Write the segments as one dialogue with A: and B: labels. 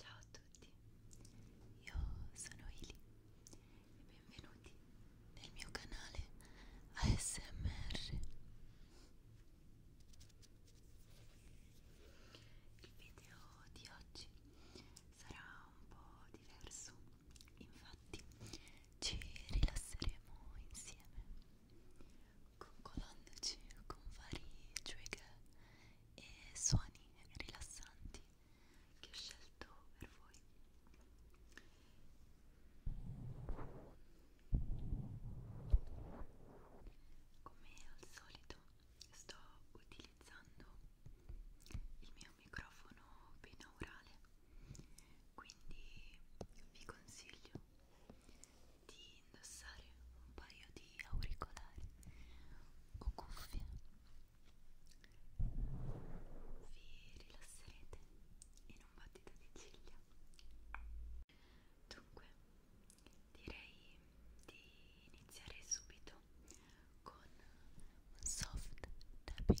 A: Ciao a tutti, io sono Ili e benvenuti nel mio canale ASMR. Il video di oggi sarà un po' diverso, infatti ci rilasseremo insieme con colonne C, con vari trigger e suoni rilassanti che ho scelto per voi. Come al solito sto utilizzando il mio microfono binaurale, quindi vi consiglio di indossare un paio di auricolari o cuffie vi rilasserete in un battito di ciglia dunque direi di iniziare subito con un soft tapping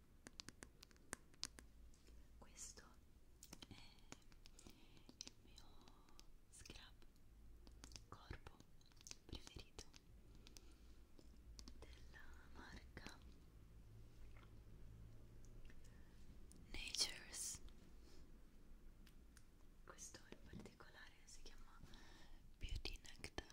A: questo è il mio scrub corpo preferito della marca Nature's questo in particolare si chiama Beauty Nectar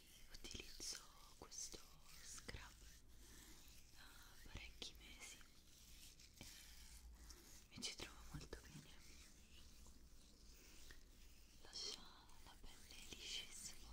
A: ormai utilizzo questo scrub da eh, parecchi mesi e eh, mi ci trovo molto bene lascia la pelle liscissima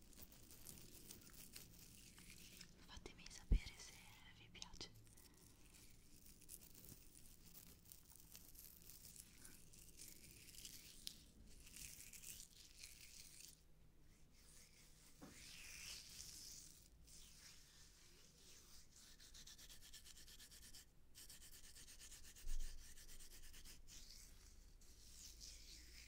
A: fatemi sapere se vi piace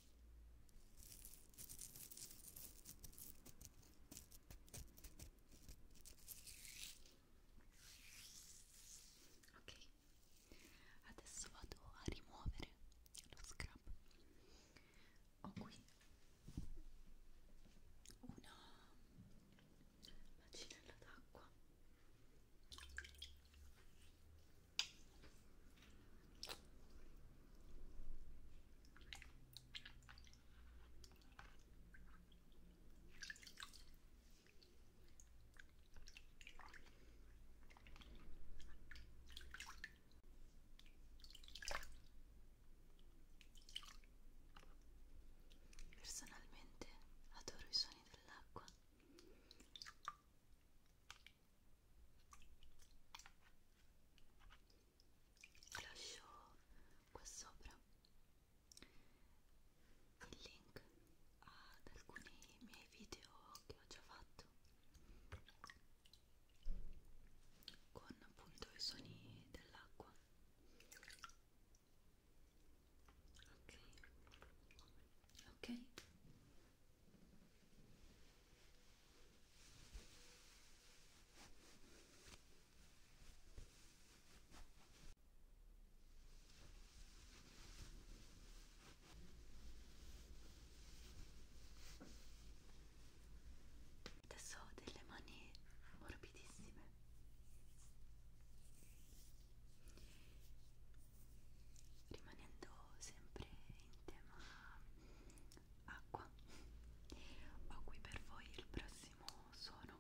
A: Ok, adesso vado a rimuovere lo scrub. Ho qui una bacinella d'acqua Personalmente adoro i suoni dell'acqua lascio qua sopra il link ad alcuni miei video che ho già fatto con appunto i suoni dell'acqua ok ok Adesso ho delle mani morbidissime rimanendo sempre in tema acqua ho qui per voi il prossimo suono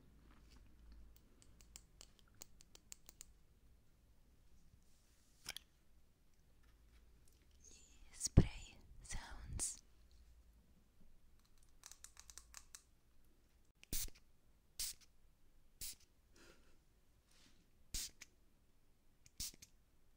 A: gli spray sounds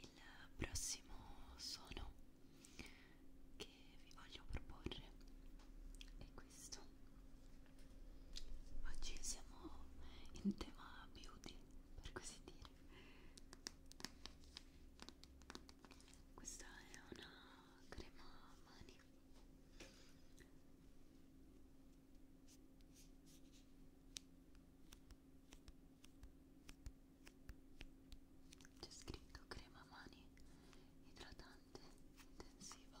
A: il prossimo suono che vi voglio proporre è questo oggi siamo in tema beauty per così dire questa è una crema mani c'è scritto crema mani idratante intensiva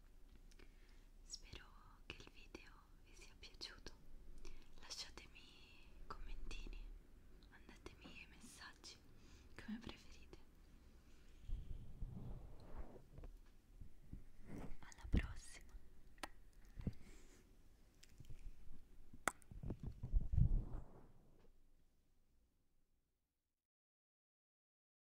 A: Spero che il video vi sia piaciuto. Lasciatemi commentini, mandatemi messaggi come preferite. Alla prossima.